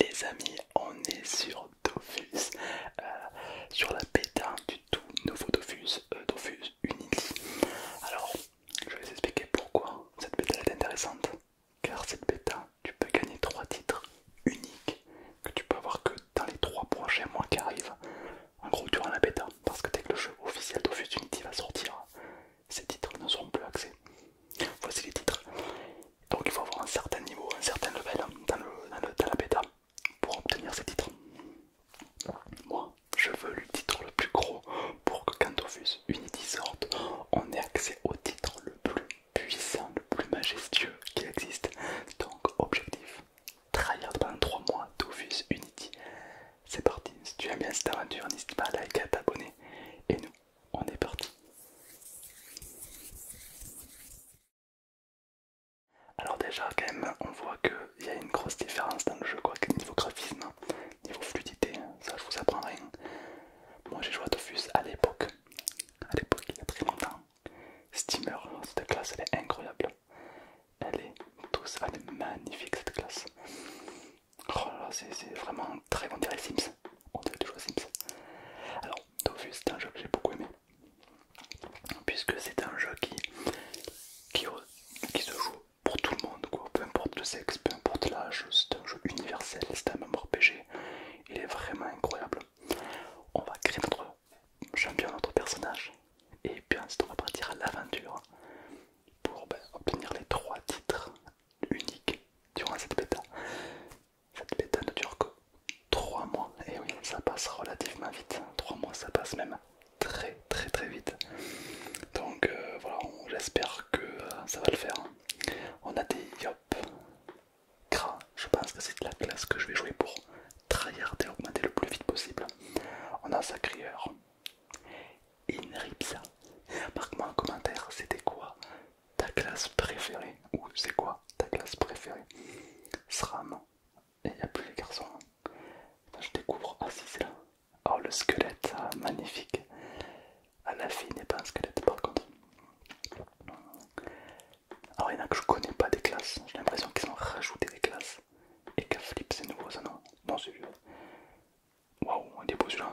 Les amis, on est sur Dofus, euh, sur la bêta du tout nouveau Dofus, euh, Dofus Unity. Alors, je vais vous expliquer pourquoi cette bêta est intéressante. Car cette bêta, tu peux gagner 3 titres uniques que tu peux avoir que dans les trois prochains mois qui arrivent. En gros, durant la bêta, parce que dès que le jeu officiel Dofus Unity va sortir, ces titres ne seront plus axés. Voici les titres. Donc il faut avoir un certain niveau, un certain level dans, la bêta pour obtenir ces titres. Moi, je veux le titre le plus gros pour que quand Tofus Unity sorte, on ait accès au titre le plus puissant, le plus majestueux qui existe. Donc objectif, tryhard pendant 3 mois, Tofus Unity. C'est parti, si tu aimes bien cette aventure, n'hésite pas à liker, à t'abonner et nous on est parti. Alors déjà quand même on voit qu'il y a une grosse différence dans le jeu quoi niveau graphisme, niveau fluidité, hein, ça je vous apprends rien. Moi j'ai joué à Tofus à l'époque, à l'époque il y a très longtemps. Steamer, cette classe elle est incroyable. Elle est tous, elle est magnifique cette classe. Oh là c'est vraiment très bon dirait Sims. On dirait toujours Sims. Alors, Dofus, c'est un jeu que j'ai beaucoup aimé. Puisque c'est un jeu qui, qui, se joue pour tout le monde, quoi. peu importe le sexe, peu importe l'âge, c'est un jeu universel, c'est un PG. il est vraiment incroyable. On va créer notre champion, notre personnage, et puis ensuite on va partir à l'aventure pour ben, obtenir les trois titres unique durant cette bêta. Cette bêta ne dure que 3 mois, et oui, ça passe relativement vite. 3 mois, ça passe même très très très vite. Donc euh, voilà, j'espère que euh, ça va le faire. Hein. On a des Yop Gras. je pense que c'est la classe que je vais jouer pour tryhard et augmenter le plus vite possible. On a sa crieur ça Marque-moi en commentaire, c'était quoi ta classe préférée Ou c'est quoi ta classe préférée SRAM. Et il n'y a plus les garçons. Hein. je découvre. Ah si, c'est là. Oh, le squelette, magnifique. Ah, la fille n'est pas un squelette par contre. Alors, il y en a que je connais pas des classes. J'ai l'impression qu'ils ont rajouté des classes. Et qu'à Flip, c'est nouveau ça, non Non, c'est vieux. Waouh, on est beau celui-là.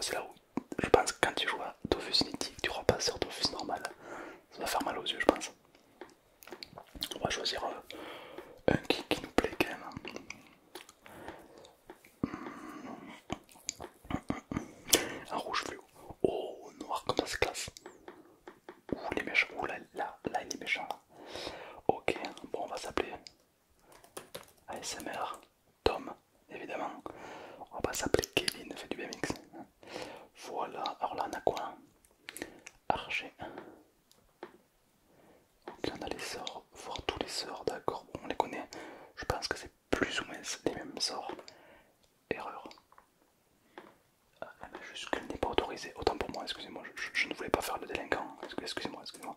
c'est là où je pense que quand tu joues à Dofus Nitty, tu repasses sur Dofus normal. Ça va faire mal aux yeux, je pense. On va choisir euh, un qui, nous plaît quand même. Un rouge bleu. Oh, noir comme ça, c'est classe. Ouh, les méchants. là, là, là, il est méchant. Ok, bon, on va s'appeler ASMR, Tom, évidemment. On va pas s'appeler Kevin, fait du BMX. Voilà, alors là on a quoi Archer. Ok, on a les sorts, voir tous les sorts, d'accord, on les connaît. Je pense que c'est plus ou moins les mêmes sorts. Erreur. Ah, n'est pas autorisée. Autant pour moi, excusez-moi, je, je ne voulais pas faire le délinquant. Excusez-moi, excusez-moi.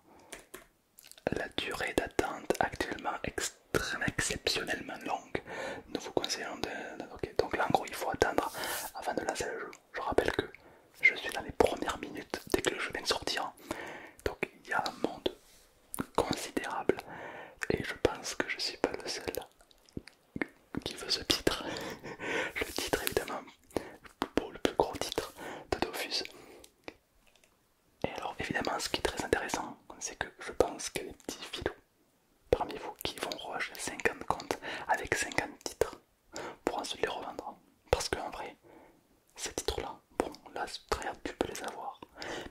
La durée d'attente actuellement exceptionnellement longue. Nous vous conseillons de... Donc là gros il faut attendre avant de lancer le jeu. Je rappelle que je suis dans les premières minutes dès que le jeu vient de sortir. Donc il y a un monde considérable et je pense que je suis pas le seul qui veut ce titre. le titre évidemment pour le plus gros titre de Dofus. Et alors évidemment ce qui est très intéressant, c'est que je pense que les petits filous parmi vous qui vont racheter 50 comptes avec 50 titres pour ensuite les revendre. Parce qu'en vrai, ces titres-là, bon là très hâte tu peux les avoir,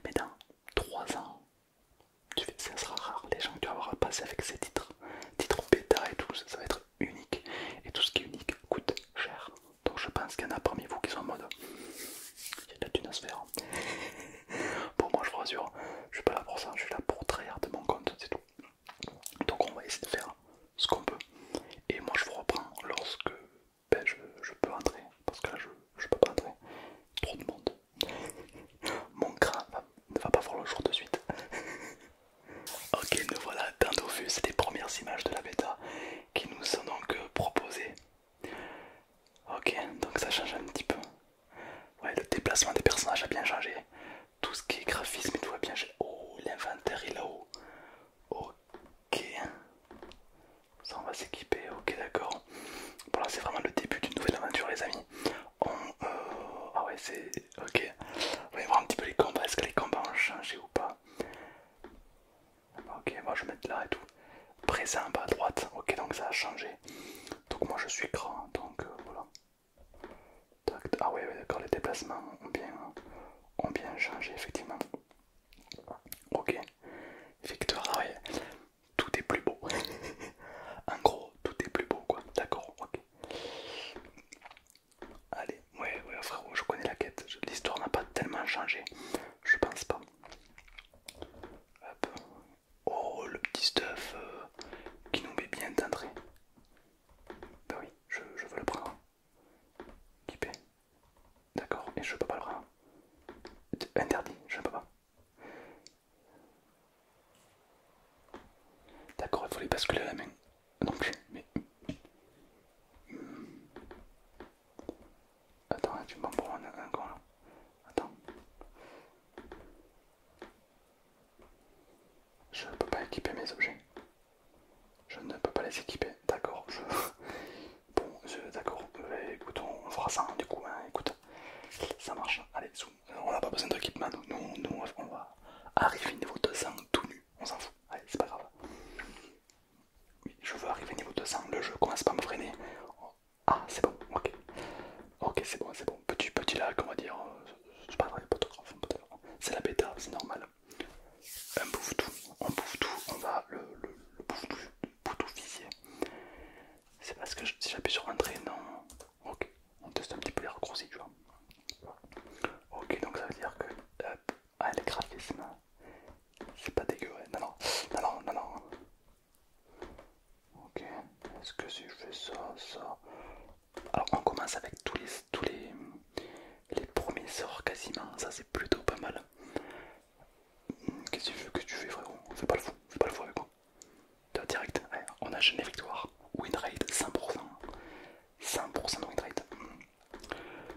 mais dans 3 ans, ça sera rare les gens qui tu vas avoir à passer avec ces titres, titres bêta et tout, ça va être unique. Et tout ce qui est unique coûte cher. Donc je pense qu'il y en a parmi vous qui sont en mode. Il y a de la thune à se faire. bon, moi je vous rassure, je suis pas là pour ça, je suis là pour trahir de mon compte, c'est tout. Donc on va essayer de faire ce qu'on peut. Et moi je vous reprends lorsque ben, je, peux entrer. Parce que là je, je peux pas entrer. Trop de monde. Mon crâne ne va pas voir le jour de suite. Ok, nous voilà dans nos vues, c'est les premières images de la bêta qui nous sont donc euh, proposées. Ok, donc ça change un petit peu. Ouais, le déplacement des personnages a bien changé. Tout ce qui est graphisme et tout bien changé. Oh, l'inventaire est là-haut. Ok. Ça, on va s'équiper. Ok, d'accord. Voilà, c'est vraiment le début d'une nouvelle aventure, les amis. On, euh, ah ouais, c'est Ok, on va voir un petit peu les combats. Est-ce que les combats ont changé ou pas Ok, moi je vais mettre là et tout. Présent bas à droite. Ok, donc ça a changé. Donc moi je suis grand, donc euh, voilà. Ah oui, d'accord, les déplacements ont bien, ont bien changé effectivement. Ok, Victor, ah tout est plus beau. en gros, tout est plus beau quoi. D'accord, ok. Allez, ouais, ouais, frérot, je connais la quête. L'histoire n'a pas tellement changé. Je pense pas. Oh, le petit stuff euh, qui nous met bien d'entrée. ben oui, je, veux le prendre. paye D'accord, et je peux pas le prendre. Interdit, je ne peux pas. D'accord, il faut les basculer à la main non mais. Attends, tu m'en prends un, un là. Attends. Je peux pas équiper mes objets. Je ne peux pas les équiper. D'accord, je. Bon, d'accord. Eh, écoute, on fera ça hein, du coup. Hein, écoute, ça marche. Allez, On n'a pas besoin d'équipement. Nous, nous, on va arriver niveau 200 tout nu on s'en fout, allez c'est pas grave. Oui, je veux arriver niveau 200, le jeu commence pas à me freiner. Ah c'est bon, ok. Ok c'est bon, c'est bon. Petit petit là, comment va dire, je euh, pas pas c'est la bêta, c'est normal. On bouffe tout, on bouffe tout, on va le, le, le bouffe tout, le C'est parce que je, si j'appuie sur entrer, non, Ok, on teste un petit peu les raccourcis, tu vois. Ok, donc ça veut dire que le ah, c'est pas dégueu, non, non, non, non, non. Ok, est-ce que si je fais ça, ça. Alors on commence avec tous les tous les, les premiers sorts quasiment, ça c'est plutôt pas mal. Qu'est-ce que tu fais, que tu fais frérot Fais pas le fou, fais pas le fou avec moi. Direct, on a jeune victoire, win rate 100%. 100% de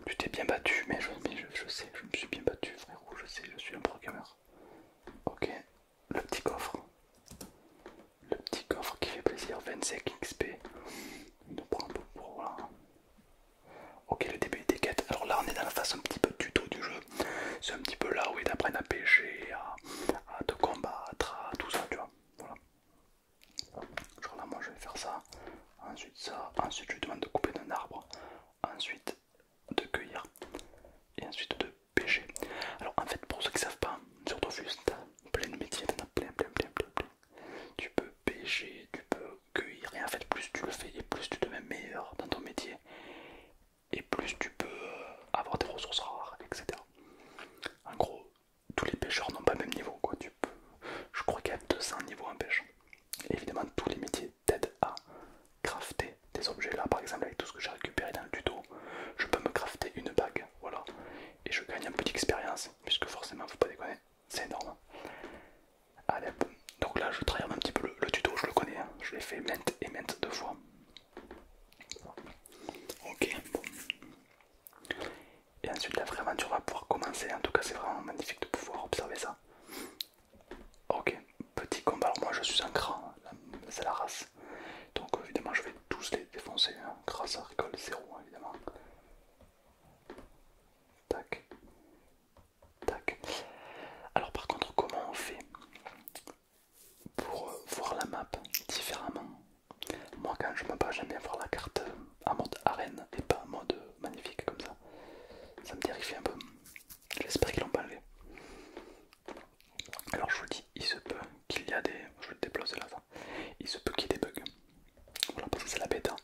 Tu t'es bien battu, mais, je, je, sais, je me suis bien battu, frérot, je sais, je suis un programmeur. Ok, le petit coffre. Le petit coffre qui fait plaisir, 25 XP. Il nous prend un peu pour voilà. Ok, le début des quêtes. Alors là, on est dans la phase un petit peu tuto du jeu. C'est un petit peu là où ils apprennent à pêcher, à, te combattre, à tout ça, tu vois. Voilà. Genre là, moi je vais faire ça, ensuite ça, ensuite je lui demande de couper d'un arbre, ensuite de cueillir et ensuite de pêcher. Alors en fait, pour ceux qui savent pas, sur tu as plein de métiers, plein, plein, plein, plein, Tu peux pêcher, tu peux cueillir, et en fait, plus tu le fais et plus tu deviens meilleur dans ton métier, et plus tu peux euh, avoir des ressources rares, etc. En gros, tous les pêcheurs n'ont pas le même niveau. Quoi. Tu Je crois qu'il y a 200 niveaux en pêche. évidemment, tous les métiers t'aident à crafter des objets. Là, par exemple, avec tout ce que j'ai récupéré dans le tuto, je peux me crafter une bague. Voilà. Et je gagne un peu d'expérience, puisque forcément, faut pas déconner, c'est énorme. Allez, donc là, je trahis un petit peu le, tuto, je le connais, hein. je l'ai fait maintes et maintes deux fois. Ok, Et ensuite, la vraie aventure va pouvoir commencer. En tout cas, c'est vraiment magnifique de pouvoir observer ça. Ok, petit combat. Alors, moi je suis un cran, c'est la race. Donc, évidemment, je vais tous les défoncer. Grâce à Ricole 0, évidemment. Tac. Tac. Alors, par contre, comment on fait pour euh, voir la map différemment. Moi quand je me bats j'aime bien voir la carte euh, en mode arène et pas en mode euh, magnifique comme ça. Ça me terrifie un peu. J'espère qu'ils l'ont pas enlevé. Alors je vous dis, il se peut qu'il y a des... Je là Il se peut qu'il y ait des bugs. Voilà parce que c'est la bêta. Hein.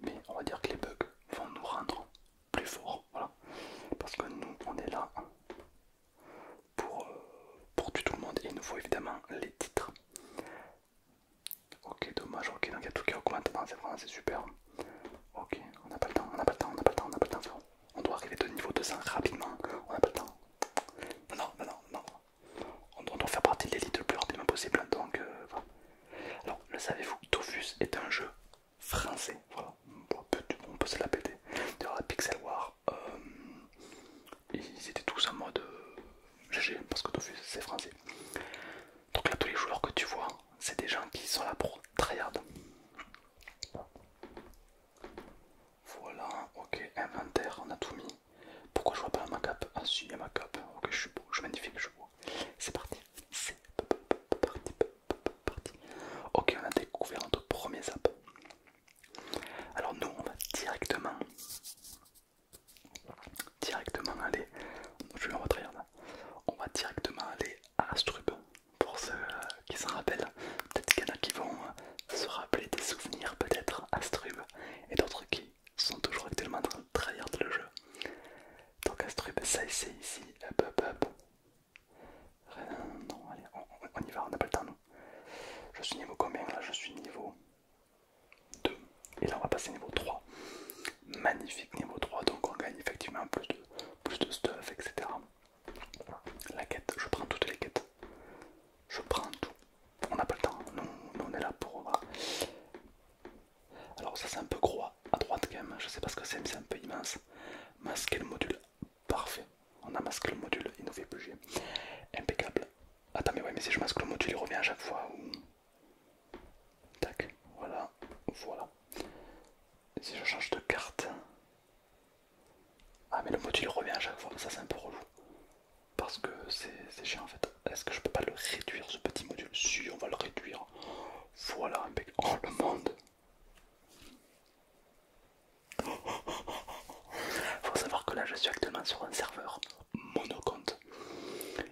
Mais on va dire que les bugs vont nous rendre plus forts. Voilà. Parce que nous on est là hein pour, euh, pour tout le monde. Et il nous faut évidemment les titres. Ok, dommage, ok, donc il y a tout qui augmente, c'est vraiment c'est super. Ok, on n'a pas le temps, on n'a pas le temps, on n'a pas le temps, on pas le temps, On doit arriver de niveau 200 rapidement, on n'a pas le temps. Non, non, non, non, on, doit faire partie de l'élite le plus rapidement possible, hein, donc euh, voilà. Alors, le savez-vous, Tofus est un jeu français, voilà, on peut, se la D'ailleurs, la Pixel War, euh, ils étaient tous en mode GG euh, parce que tout' c'est français. Donc là tous les joueurs que tu vois, c'est des gens qui sont là pour tryhard. Voilà, ok, inventaire, on a tout mis. Pourquoi je vois pas ma up Ah si, il y a ma up Ok, je suis beau, je suis magnifique, je suis beau. C'est parti, c'est parti, parti. Ok, on a découvert notre premier zap. Alors nous on va directement directement aller on va directement aller à Astrub pour ceux euh, qui s'en rappellent peut-être qu'il y en a qui vont euh, se rappeler des souvenirs peut-être Astrub et d'autres qui sont toujours actuellement en train de le jeu donc Astrub ça c'est ici non, on, y va, on n'a pas le temps Je suis niveau combien là Je suis niveau 2. Et là on va passer niveau 3. Magnifique niveau 3, donc on gagne effectivement plus de, plus de stuff, etc. La quête, je prends toutes les quêtes. Je prends tout. On n'a pas le temps, nous, on est là pour... Alors ça c'est un peu gros à droite quand même, je sais pas ce que c'est mais c'est un peu immense. Masquer le module Parfait. On a masqué le module, il nous fait bugger. Impeccable. Attends, mais ouais, mais si je masque le module, il revient à chaque fois. Tac, voilà, voilà. si je change de carte. Ah, mais le module revient à chaque fois, ça c'est un peu relou. Parce que c'est chiant en fait. Est-ce que je peux pas le réduire ce petit module Si, on va le réduire. Voilà, impeccable. Oh, le monde faut savoir que là je suis actuellement sur un serveur monocompte.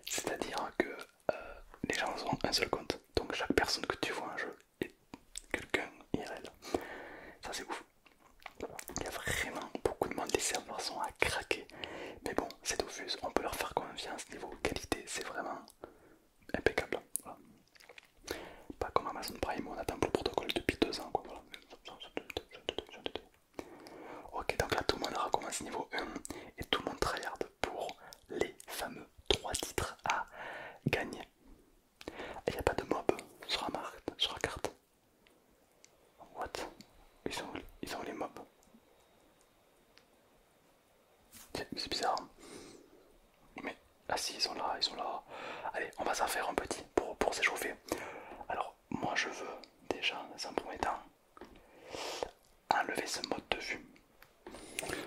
C'est-à-dire que euh, les gens ont un seul compte. Donc chaque personne que tu vois en jeu est quelqu'un IRL. Ça c'est ouf. Il y a vraiment beaucoup de monde, les serveurs sont à craquer. Mais bon, c'est Dofus, on peut leur faire confiance niveau qualité, c'est vraiment impeccable. Pas comme Amazon Prime, on attend pour le protocole depuis deux ans. Quoi, Ok, donc là tout le monde recommence niveau 1 et tout le monde tryhard pour les fameux 3 titres à gagner. Il n'y a pas de mob sur la, carte. What ils ont, ils ont les mobs. C'est bizarre. Hein. Mais ah si, ils sont là, ils sont là. Allez, on va s'en faire un petit pour, s'échauffer. Alors, moi je veux déjà, dans un premier temps, enlever ce mode de vue.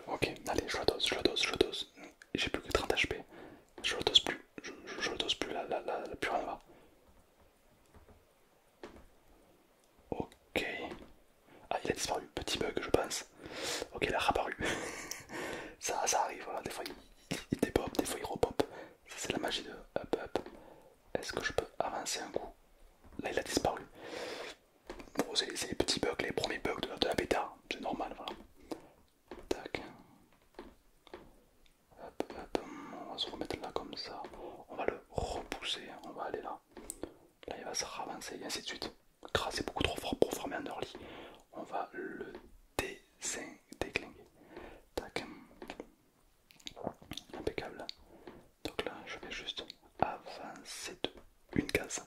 Ok, allez, je le dose, je le dose, je le dose. J'ai plus que 30 HP. Je le dose plus, je, dose plus, la là, là, Ok. Ah, il a disparu. Petit bug, je pense. Ok, il a réapparu. ça, ça arrive, Des fois il, des fois il repop. Ça, c'est la magie de hop Up. Est-ce que je peux avancer un coup Là, il a disparu. Bon, c'est les petits bugs, les premiers bugs de, la bêta. C'est normal, voilà. Tac. Hop, hop, on va se remettre là comme ça. On va le repousser, on va aller là. Là, il va se ravancer et ainsi de suite c'est beaucoup trop fort pour former un early. On va le désinglinguer. Tac. Impeccable. Donc là, je vais juste avancer une case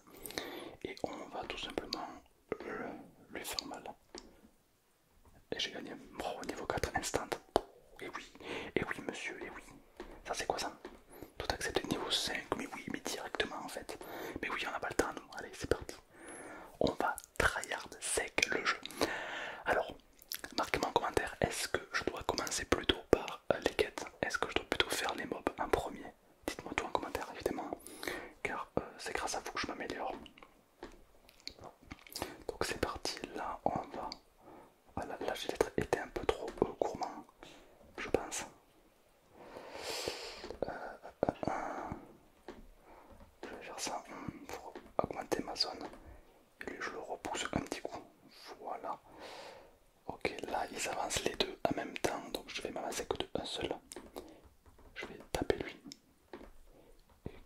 et on va tout simplement le, lui faire mal. Et j'ai gagné. pro niveau 4 instant. Et oui, et oui, monsieur, et oui. Ça, c'est quoi ça Tout de niveau 5, mais oui, mais directement en fait. Mais oui, on n'a pas le temps, allez, c'est parti. On va tryhard sec le jeu. Alors, marquez-moi en commentaire, est-ce que je dois commencer plutôt par euh, les quêtes Est-ce que je dois plutôt faire les mobs en premier Dites-moi tout en commentaire, évidemment, car euh, c'est grâce à vous que je m'améliore. Donc c'est parti, là on va... Ah, là j'ai été un peu trop euh, gourmand, je pense. Euh, euh, euh, je vais faire ça pour augmenter ma zone. Et je le repousse comme petit coup. Voilà. Ok, là, ils avancent les deux en même temps. Donc, je vais m'avancer que de un seul. Je vais taper lui. Et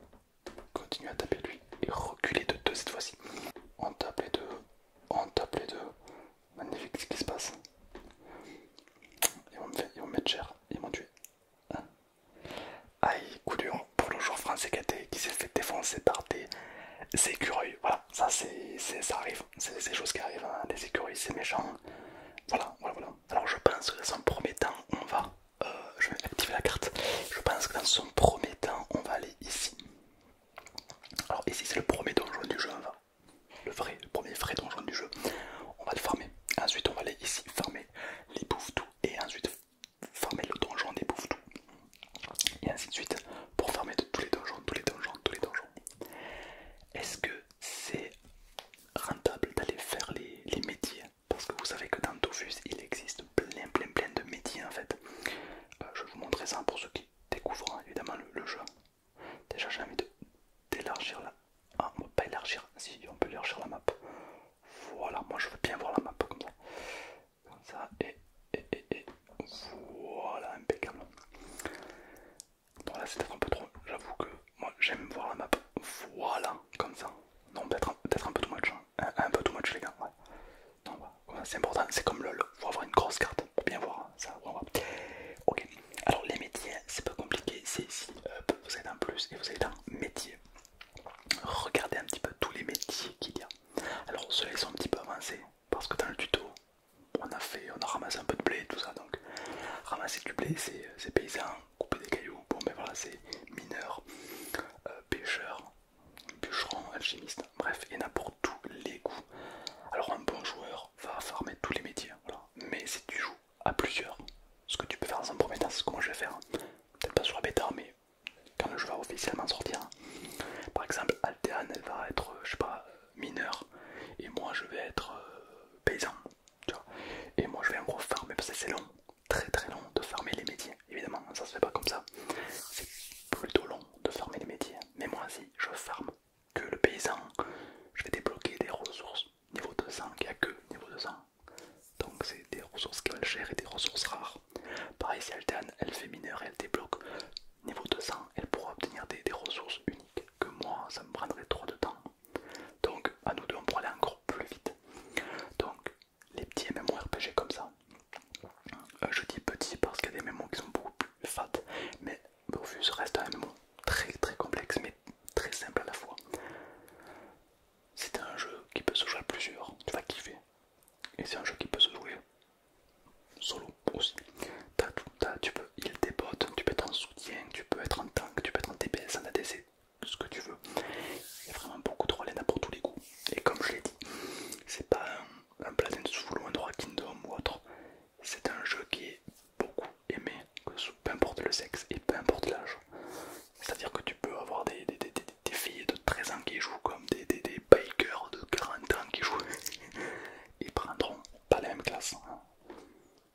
continuer à taper lui. Et reculer de deux cette fois-ci. On tape les deux. On tape les deux. Magnifique ce qui se passe. Ils vont me, mettre cher, ils vont tué. Aïe, coup dur pour le joueur français qui s'est fait défoncer par des écureuils. Voilà, ça c'est ça arrive, c'est des choses qui arrivent. Hein. des Les écureuils, c'est méchant. Voilà, voilà, voilà. Alors je pense que dans son premier temps, on va. Euh, je vais activer la carte. Je pense que dans son premier temps, on va aller ici. Alors ici, c'est le premier donjon du jeu le vrai, premier vrai donjon du jeu. On va le farmer. Ensuite, on va aller ici farmer les bouffes et ensuite farmer le donjon des bouffes-tout. Et ainsi de suite pour farmer tous les donjons, tous les donjons, tous les donjons. Est-ce que c'est rentable d'aller faire les, métiers Parce que vous savez que dans Tofus il existe plein, plein, plein de métiers en fait. Euh, je vais vous montrer ça pour ceux qui découvrent hein, évidemment le jeu. Déjà, j'ai envie d'élargir la. Ah, on peut pas élargir. Si, on peut élargir la map. Voilà, moi je veux bien voir la map comme ça. Comme ça, et, voilà, impeccable. Bon, là c'est peut-être un peu trop. J'avoue que moi j'aime voir la map. Voilà, comme ça. Non, peut-être un peu too much. Hein. Un, peu too much, les gars. c'est important. C'est comme LOL. Faut avoir une grosse carte pour bien voir ça, Ok, alors les métiers, c'est pas compliqué, c'est ici, euh, vous êtes un plus et vous allez un métier. Regardez un petit peu tous les métiers qu'il y a. Alors ceux-là sont un petit peu avancés, parce que dans le tuto, on a fait, on a ramassé un peu de blé et tout ça, donc ramasser du blé, c'est paysan, couper des cailloux, bon mais ben voilà, c'est mineur, euh, pêcheur, bûcheron, alchimiste, bref, et n'importe quoi tous les goûts. Alors un bon joueur va farmer tous les métiers, mais si tu joues à plusieurs, ce que tu peux faire dans un premier temps, c'est comment je vais faire, hein. peut-être pas sur la bêta, mais quand le jeu va officiellement sortir. Par exemple, Altean, elle va être, euh, je sais pas, euh, mineur, et moi je vais être euh, paysan, Et moi je vais en gros farmer, parce que c'est long, très très long de farmer les métiers, évidemment, ça se fait pas comme ça. C'est plutôt long de farmer les métiers, mais moi si je farme que le paysan, je vais débloquer des ressources niveau 200, il n'y a que niveau 200. Donc c'est des ressources qui valent cher et des ressources rares. Pareil si elle elle fait mineur elle débloque niveau 200, elle pourra obtenir des, ressources uniques que moi ça me prendrait trop de temps. Donc à nous deux on pourra aller encore plus vite. Donc les petits RPG comme ça. Euh, je dis petit parce qu'il y a des MMO qui sont beaucoup plus fat, mais ce reste un mot très très complexe mais très simple à la fois. C'est un jeu qui peut se jouer à plusieurs, tu vas kiffer. Et c'est un jeu qui peut se jouer solo aussi. tu peux il tes potes, tu peux être en soutien, tu peux être en tank, tu peux être en DPS, en ADC, ce que tu veux. Il y a vraiment beaucoup de rôles pour tous les goûts. Et comme je l'ai dit, c'est pas un un platin Soul ou un droit Kingdom ou autre. C'est un jeu qui est beaucoup aimé, que peu importe le sexe et peu importe l'âge. C'est-à-dire que tu peux avoir des, des, filles de 13 ans qui jouent comme des, des, bikers de 40 ans qui jouent. Ils prendront pas la même classe. Hein.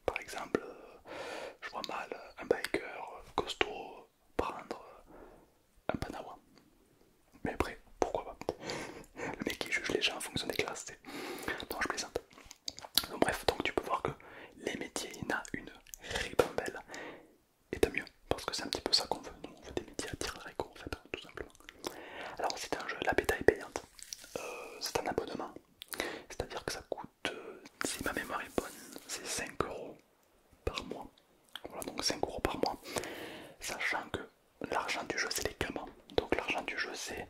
Par exemple, euh, je vois mal un biker costaud prendre un panawa. Mais après, pourquoi pas Le mec qui juge les gens en fonction des classes, Donc je plaisante. Donc, bref, donc tu peux voir que les métiers, il y en a une ribambelle. Et tant mieux, parce que c'est un petit peu ça qu'on veut. Nous, on veut des métiers à tirer réco, en fait, tout simplement. Alors, c'est un jeu, la bêta est payante. Euh, c'est un abonnement. C'est-à-dire que ça coûte, euh, si ma mémoire est bonne, c'est 5 euros par mois. Voilà, donc 5 euros par mois. Sachant que l'argent du jeu c'est les gamins. Donc l'argent du jeu c'est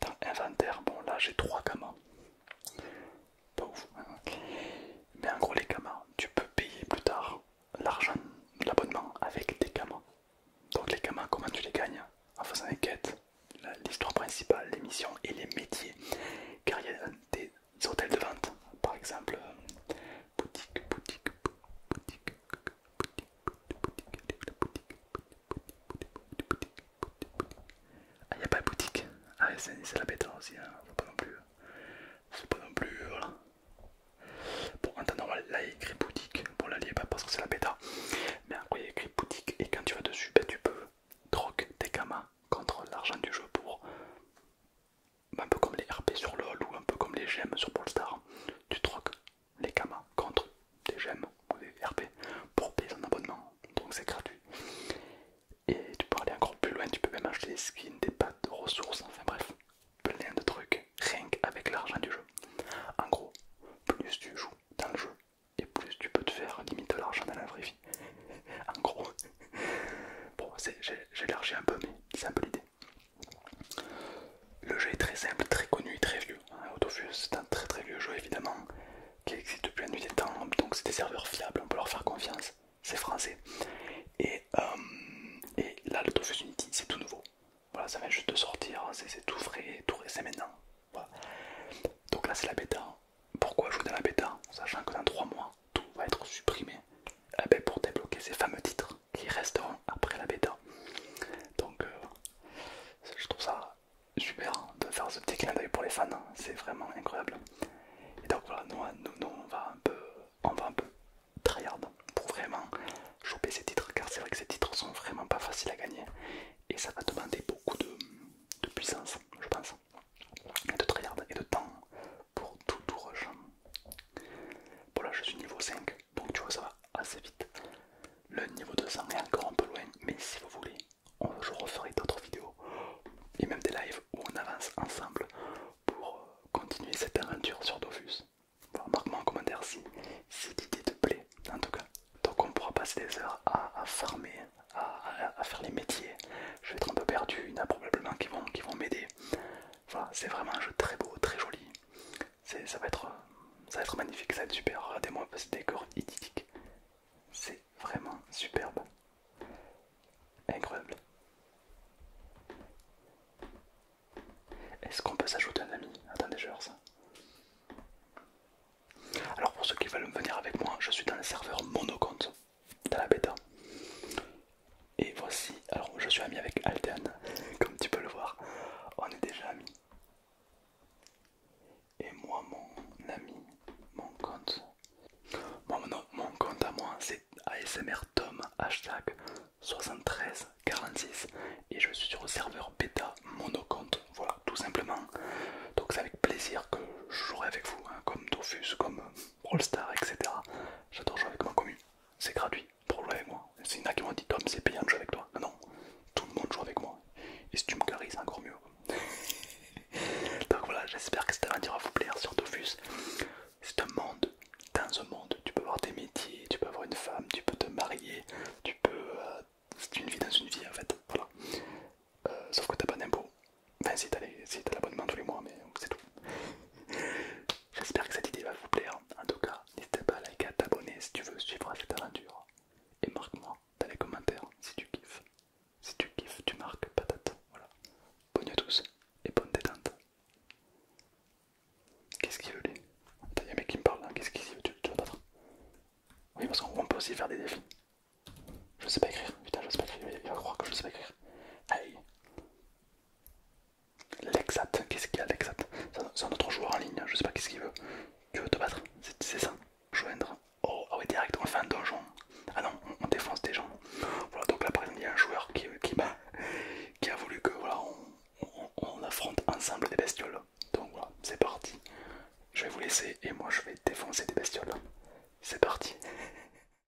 dans inventaire. Bon là j'ai trois gamins. Pas ouf. Hein. Mais en gros les gamins, tu peux payer plus tard l'argent, l'abonnement avec des gamins. Donc les gamins, comment tu les gagnes En faisant une quête l'histoire principale, les missions et les métiers. Car il y a des hôtels de vente, par exemple, boutique, boutique, boutique, ah, il boutique a pas boutique. Ah, c'est la bêta aussi, hein. pas non plus. C'est euh, pas non plus. Euh, voilà. Bon, en temps normal, là il écrit boutique. Bon, là il pas parce que c'est la bêta. Mais en il y a écrit boutique. Et quand tu vas dessus, ben, tu peux droque tes gamins contre l'argent du jeu pour un peu comme les RP sur LoL ou un peu comme les gemmes sur star tu troques les kamas contre des gemmes ou des RP pour payer ton abonnement, donc c'est gratuit. Et tu peux aller encore plus loin, tu peux même acheter des skins, des pâtes de ressources, enfin bref, plein de trucs, rien qu'avec l'argent du jeu. En gros, plus tu joues dans le jeu, et plus tu peux te faire limite de l'argent dans la vraie vie. en gros, bon, j'élargis un peu, mais c'est un peu l'idée. Le jeu est très simple, très connu et très vieux. Hein, Autofuse, c'est un très très vieux jeu évidemment, qui existe depuis la nuit des temps, donc c'est des serveurs fiables, on peut leur faire confiance, c'est français. Et, euh, et là, l'Autofuse Unity, c'est tout nouveau. Voilà, ça vient juste de sortir, hein, c'est tout frais, tout c'est maintenant. Donc là, c'est la bêta. Pourquoi jouer dans la bêta Sachant que dans 3 mois, tout va être supprimé eh ben, pour débloquer ces fameux titres qui resteront après la bêta. Donc euh, je trouve ça super hein, de faire ce petit clin d'œil pour les fans, hein. c'est vraiment incroyable. Et donc voilà, hein, nous, on va un peu, on va un peu tryhard pour vraiment choper ces titres, car c'est vrai que ces titres sont vraiment pas faciles à gagner et ça va demander beaucoup de, de puissance, je pense, de tryhard et de temps pour tout tout rush. Bon là je suis niveau 5, donc tu vois ça va assez vite. Le niveau 200 est encore un peu loin, mais si vous voulez, on, je referai d'autres vidéos et même des lives où on avance ensemble pour euh, continuer cette aventure sur Dofus. remarque moi en commentaire si, cette l'idée te plaît, en tout cas. Donc on pourra passer des heures à, farmer, à, faire les métiers. Je vais être un peu perdu, il y en a probablement qui vont m'aider. Voilà, c'est vraiment un jeu très beau, très joli. Ça va, être, euh, ça magnifique, ça va être super. Regardez-moi un peu ce décor idyllique. C'est vraiment superbe. Incroyable. Est-ce qu'on peut s'ajouter un ami Attendez, je ça. Alors pour ceux qui veulent venir avec moi, je suis dans le serveur Monocompt, dans la bêta. Et voici, alors je suis ami avec Aldean, comme tu peux le voir, on est déjà amis. Et moi, mon ami, mon compte, mon compte à moi, c'est ASMR Tom hashtag 7346 et je suis sur le serveur bêta compte, voilà, tout simplement. Donc c'est avec plaisir que je jouerai avec vous, hein, comme Tofus, comme Rollstar, etc. J'adore jouer avec ma commune c'est gratuit pour jouer avec moi. C'est a qui m'ont dit Tom, c'est payant de jouer avec toi. Non, tout le monde joue avec moi. Et si tu me carries, c'est encore mieux. Donc voilà, j'espère que cette aventure va vous plaire sur Dofus. C'est un monde, dans un monde, tu peux avoir des métiers, tu peux avoir une femme, tu peux te marier, tu peux. Euh, c'est une vie dans une vie en fait, voilà. Euh, sauf que t'as pas d'impôts. Enfin, si t'as l'abonnement tous les mois, mais c'est tout. J'espère que cette idée va vous plaire. En tout cas, n'hésitez pas à liker, à t'abonner si tu veux suivre cette aventure. Et marque-moi dans les commentaires si tu kiffes. Si tu kiffes, tu marques patate. Voilà. Bonne à tous et bonne détente. Qu'est-ce qu'il veut les y a un mec qui me parle, hein. qu'est-ce qu'il veut tu, veux pas Oui, parce qu'on peut aussi faire des défis. Je sais pas écrire, putain, je sais pas écrire, il va croire que je sais pas écrire. Aïe Lexat, qu'est-ce qu'il y a Lexat C'est un autre joueur en ligne, je sais pas qu'est-ce qu'il veut. Tu veux te battre C'est ça Joindre. Oh, ah oui direct, on fait un donjon. Ah non, on, défonce des gens. Voilà, donc là par exemple, il y a un joueur qui, a, voulu que voilà, on, affronte ensemble des bestioles. Donc voilà, c'est parti. Je vais vous laisser et moi je vais défoncer des bestioles. C'est parti.